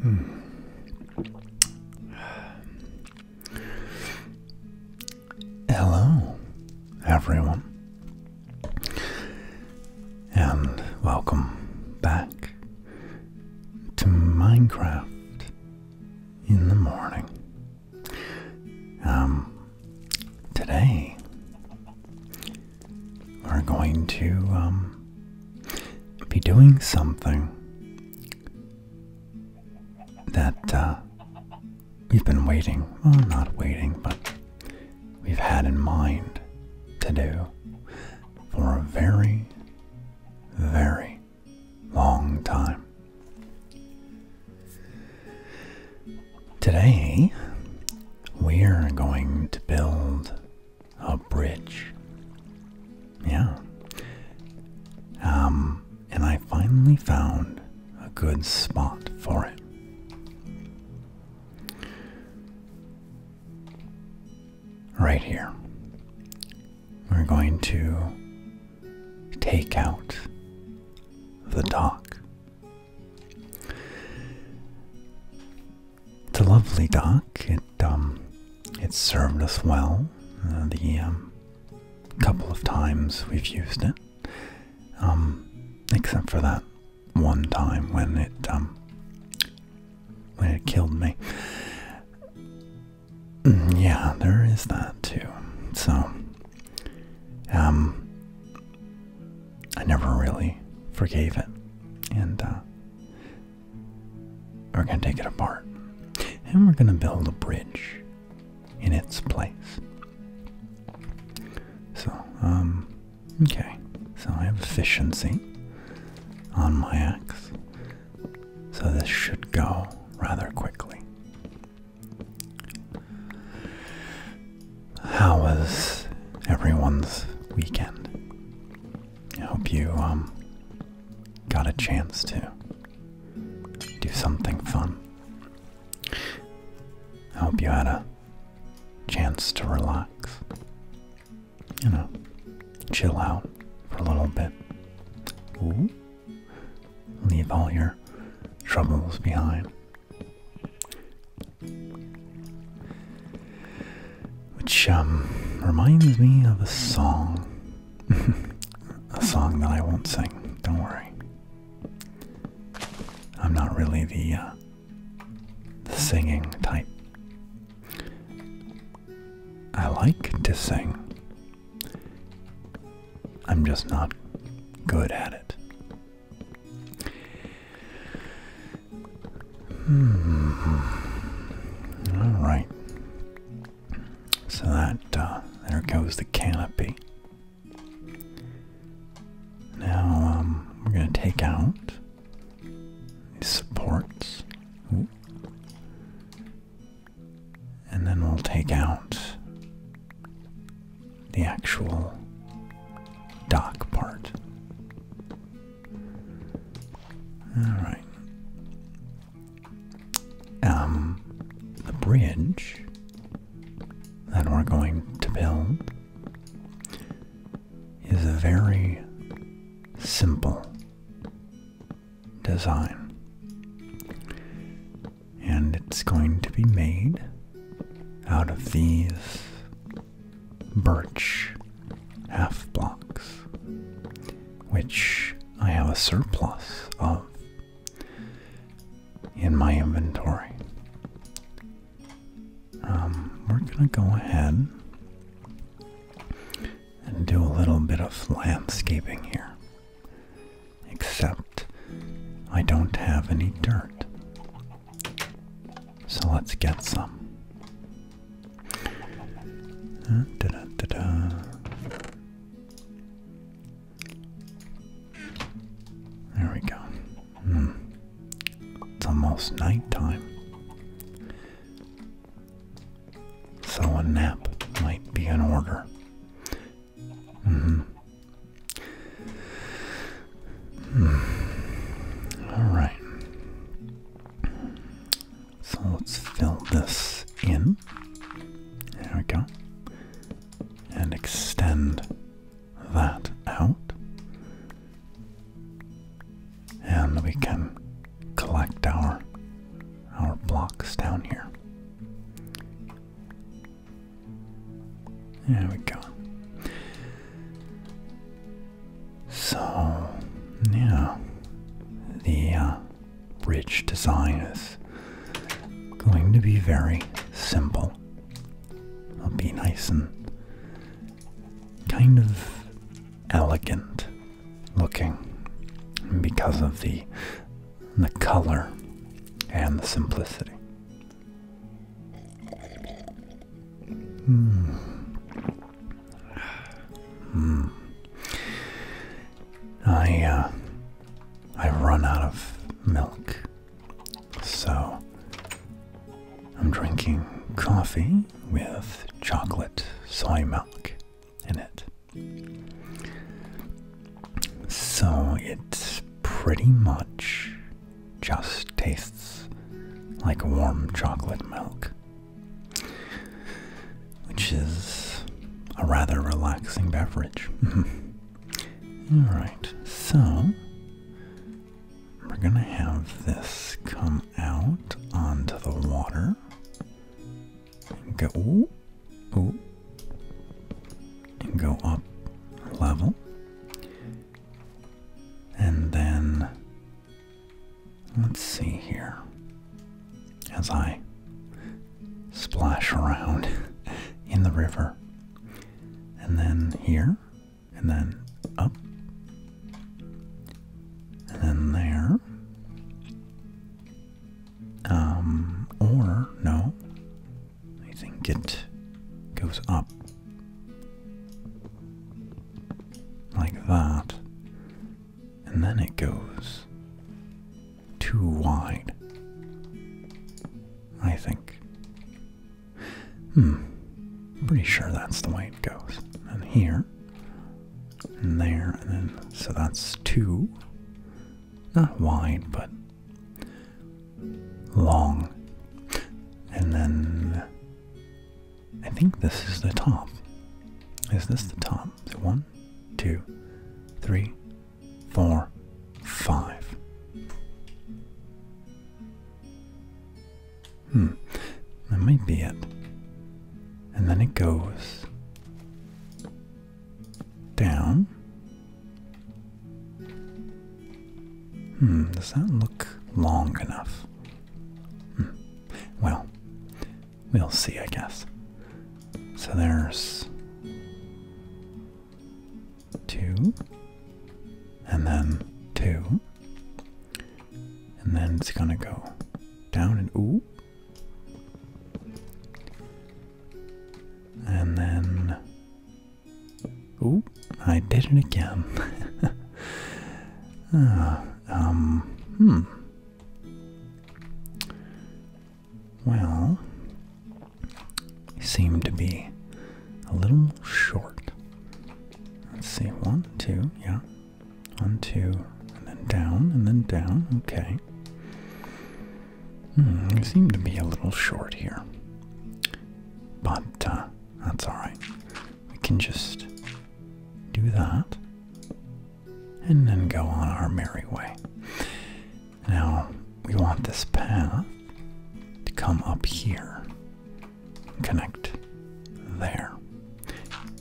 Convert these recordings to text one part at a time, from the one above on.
Hmm. Hello, everyone, and welcome back to Minecraft in the morning. Um, today we are going to um, be doing something that uh, we've been waiting, well, not waiting, but we've had in mind to do for a very, very long time. Today, we're going to build a bridge. Yeah. Um, and I finally found a good spot for it. Right here. We're going to take out the dock. It's a lovely dock. It um, it served us well. Uh, the um, couple of times we've used it, um, except for that one time when it when it killed me. Mm, yeah, there is that too. So, I never really forgave it. And uh, we're going to take it apart. And we're going to build a bridge in its place. So, um, okay. So I have efficiency on my axe. So this should go rather quickly how was everyone's weekend? I hope you um got a chance to do something fun. I hope you had a chance to relax. You know, chill out for a little bit. Leave all your troubles behind. Which um, reminds me of a song. a song that I won't sing, don't worry. I'm not really uh, the singing type. I like to sing. I'm just not good at it. Hmm. All right. So that uh, there goes the canopy. Now um, we're going to take out these supports. And then we'll take out the actual dock part. Alright. Um, the bridge that we're going to build is a very simple design. And it's going to be made out of these birch half blocks, which I have a surplus of in my inventory. Um, we're going to go ahead and do a little bit of landscaping here. Except I don't have any dirt. So let's get some. Uh, there we go. Hmm. It's almost nighttime. So a nap might be in order. -hmm. Hmm. All right. So let's fill this in. There we go. And extend that out. And we can collect our our blocks down here. There we go. So, now the uh, bridge design is going to be very simple. It'll be nice and kind of elegant looking because of the the color and the simplicity. Hmm. hmm. I uh, i run out of milk. So I'm drinking coffee with chocolate soy milk in it. So it's pretty much just tastes like warm chocolate milk, which is a rather relaxing beverage. Alright, so we're gonna have this come out onto the water. Go and go up level. And then let's see here. As I splash around in the river. And then here. And then up. And then there. Um, or no. I think it goes up like that, and then it goes too wide. I think. Hmm. Pretty sure that's the way it goes. And here, and there, and then. So that's two. Not wide, but long. And then I think this is the top. Is this the top? So one, two, three, four, five. Hmm, that might be it. And then it goes down Hmm, does that look long enough? Hmm, well, we'll see, I guess. So there's two, and then two, and then it's gonna go down and ooh. And then Oop, I did it again. Ah, um, hmm. Well, seem to be a little short. Let's see, one, two, yeah. One, two, and then down, and then down, okay. Hmm, we seem to be a little short here. But uh, that's alright. We can just do that and then go on our merry way. Now, we want this path to come up here, connect there.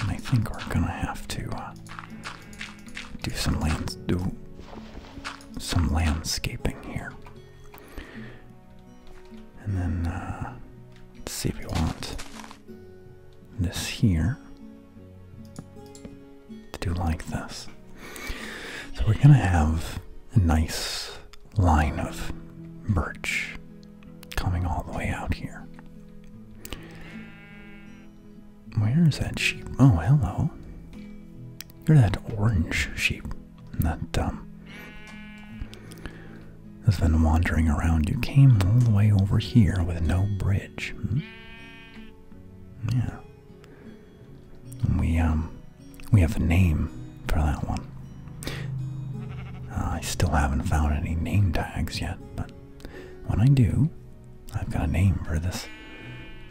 And I think we're gonna have to uh, do some lands do some landscaping here. And then uh, let's see if we want this here to do like this. So we're gonna have a nice line of birch coming all the way out here. Where is that sheep? Oh, hello. You're that orange sheep. That um has been wandering around. You came all the way over here with no bridge. Hmm? Yeah. We um we have a name for that one. Uh, I still haven't found any name tags yet, but when I do, I've got a name for this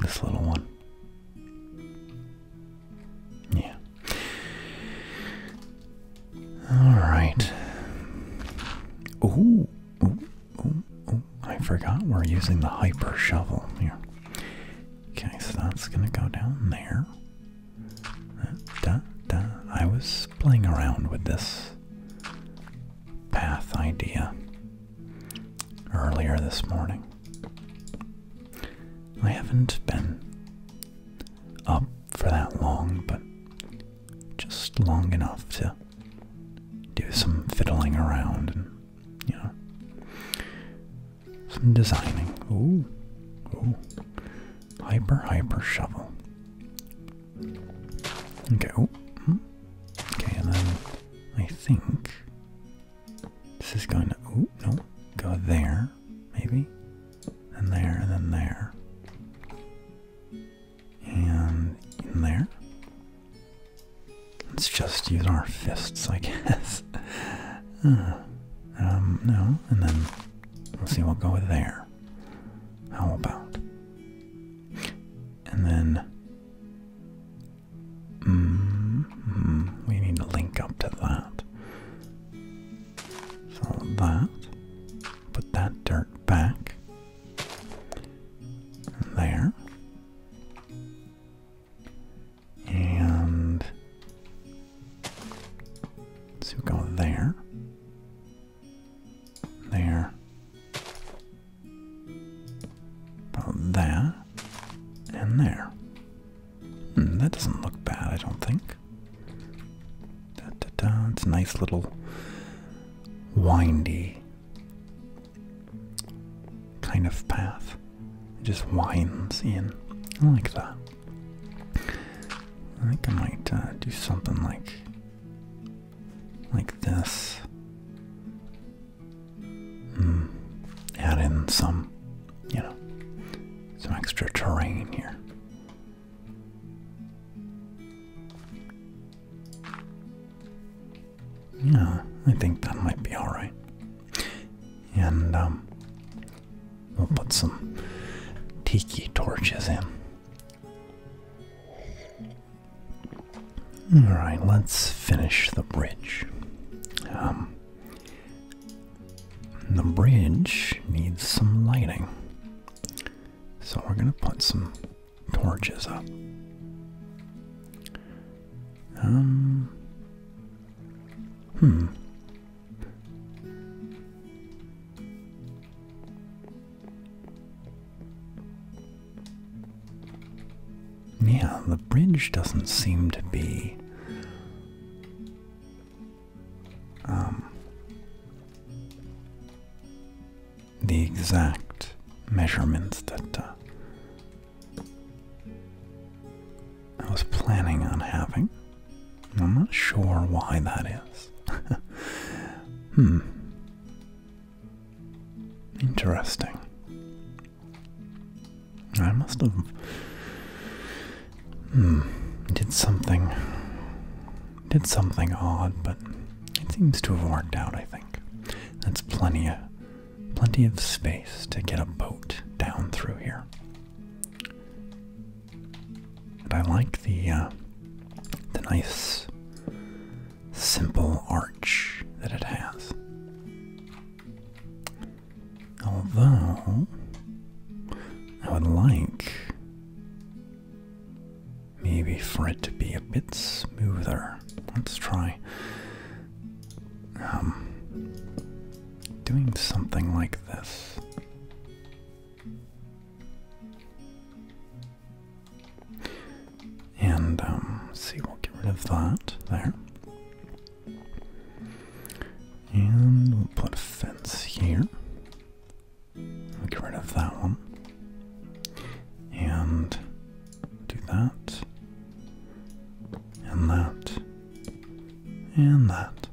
this little one. Yeah. All right. Ooh, ooh, ooh, ooh. I forgot we're using the hyper shovel here. Okay, so that's gonna go down there. Da, da. I was playing around with this path idea earlier this morning. I haven't been up for that long, but just long enough to do some fiddling around and, you know, some designing. Ooh, ooh. Hyper, hyper shovel. Okay, oh. Okay, and then I think this is going to, ooh, no, go there, maybe, and there, and then there, and in there. Let's just use our fists, I guess. uh, um, no, and then we'll see, we'll go there. How about? And then Mm-hmm. We need to link up to that. So that. Put that dirt back. There. And so go there. There. About and there. Hmm, that doesn't look bad, I don't think. It's a nice little windy kind of path. It just winds in. I like that. I think I might uh, do something like like this. Hmm. add in some, you know, some extra terrain here. Yeah, I think that might be alright. And, um, we'll put some tiki torches in. All right, let's finish the bridge. Um, the bridge needs some lighting. So we're going to put some torches up. Um, hmm. Yeah, the bridge doesn't seem to be um, the exact measurements that uh, I was planning on having. I'm not sure why that is. hmm. Interesting. I must have. Hmm, did something. Did something odd, but it seems to have worked out, I think. That's plenty of, plenty of space to get a boat down through here. I like the, uh, the nice simple arch that it has. Although, I would like maybe for it to be a bit smoother. Let's try um, doing something like this. And um, see, we'll get rid of that there. And we'll put a fence here. We'll get rid of that one. And do that. And that. And that.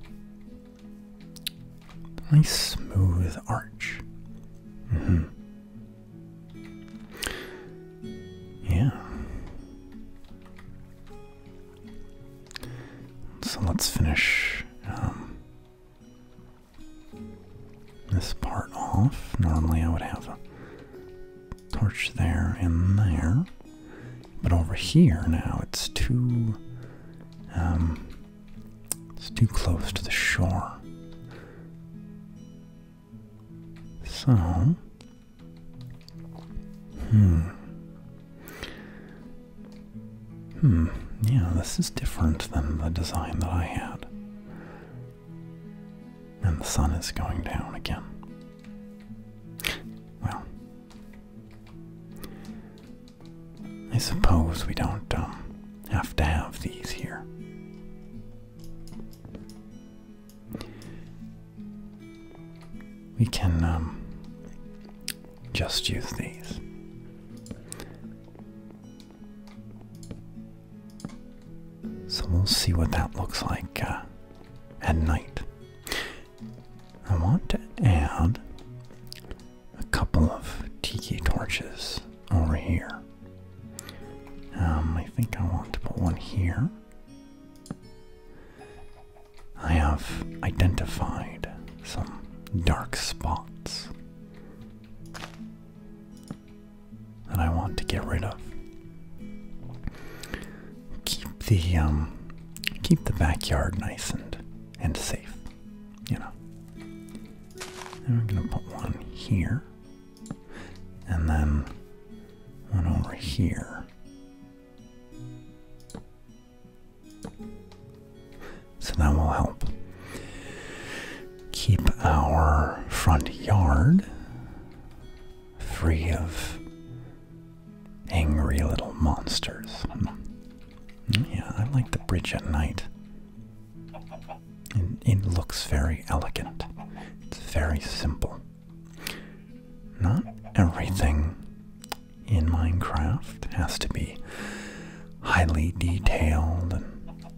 Nice smooth arch. Mm-hmm. Yeah. So let's finish um, this part off. Normally I would have a torch there and there. But over here now it's too um, it's too close to the shore. So, hmm. Hmm, yeah, this is different than the design that I had. And the sun is going down again. Well, I suppose we don't um, have to have these here we can um, just use these. So we'll see what that looks like uh, at night. I want to add a couple of tiki torches over here. Um, I think I want to put one here. I have identified some dark spots that I want to get rid of. Keep the um, keep the backyard nice and and safe, you know. And we're gonna put one here and then one over here. So that will help keep our front yard free of angry little monsters. Hmm. Yeah, I like the bridge at night it looks very elegant. It's very simple. Not everything in Minecraft has to be highly detailed and,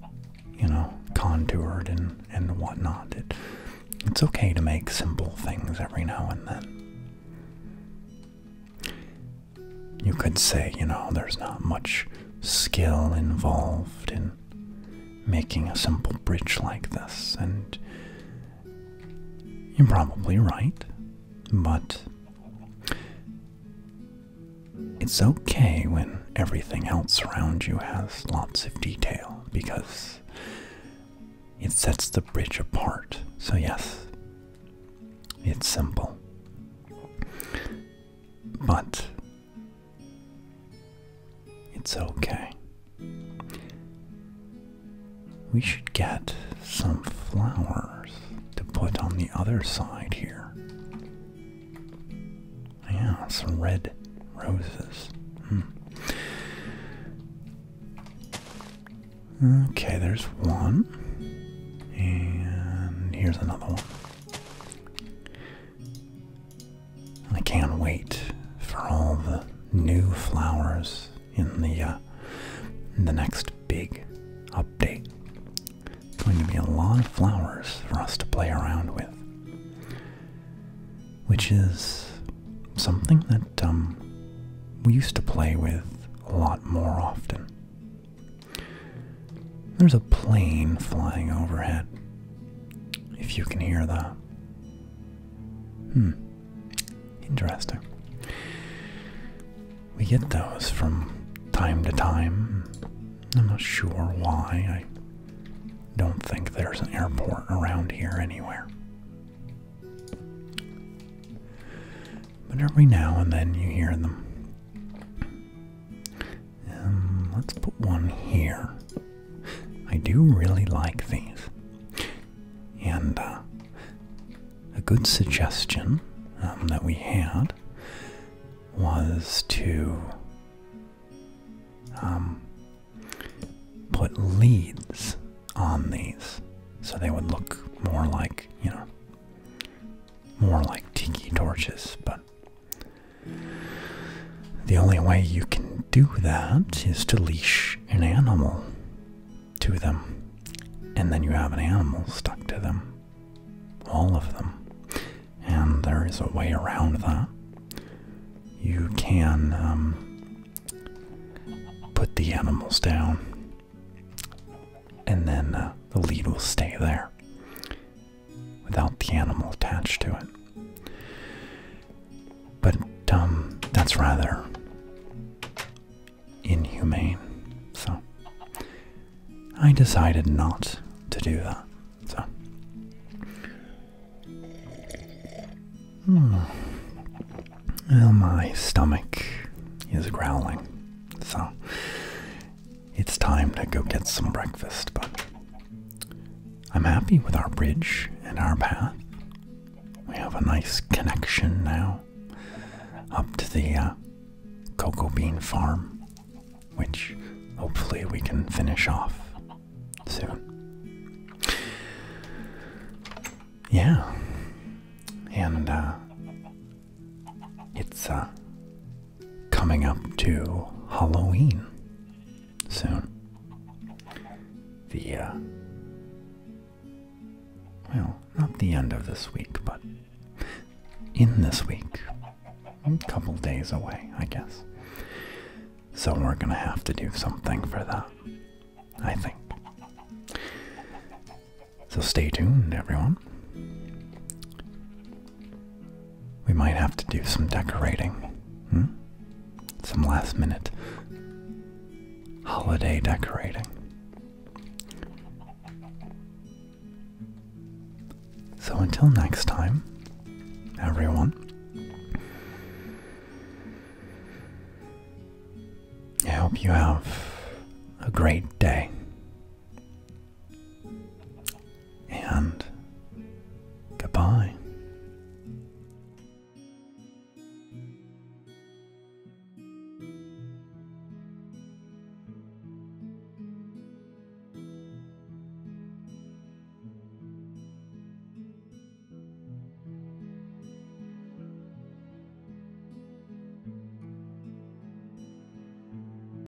you know, contoured and, and whatnot. it's okay to make simple things every now and then. You could say, you know, there's not much skill involved in making a simple bridge like this, and you're probably right, but it's okay when everything else around you has lots of detail because it sets the bridge apart. So, yes, it's simple. But it's okay. We should get some flowers to put on the other side here. Yeah, some red roses. Hmm. Okay, there's one. And here's another one. I can't wait for all the new flowers in the uh, in the next big update. It's going to be a lot of flowers for us to play around with, which is something that um, we used to play with a lot more often. There's a plane flying overhead. If you can hear that. Hmm. Interesting. We get those from time to time. I'm not sure why. I don't think there's an airport around here anywhere. But every now and then you hear them. Um, let's put one here. I do really like these. And uh, a good suggestion um, that we had was to um, put leads on these so they would look more like, you know, more like tiki torches, but the only way you can do that is to leash an animal to them, and then you have an animal stuck to them. All of them. And there is a way around that. You can um, put the animals down, and then uh, the lead will stay there without the animal attached to it. But um, that's rather inhumane. So I decided not to do that. So. Hmm. Well, my stomach is growling, so it's time to go get some breakfast, but I'm happy with our bridge and our path. We have a nice connection now up to the uh, cocoa bean farm, which hopefully we can finish off soon. Yeah, and uh, it's uh, coming up to Halloween soon. The, uh, well, not the end of this week, but in this week. A couple days away, I guess. So we're gonna have to do something for that, I think. So stay tuned, everyone. We might have to do some decorating. Hmm? Some last minute holiday decorating. So until next time, everyone. I hope you have a great day and goodbye.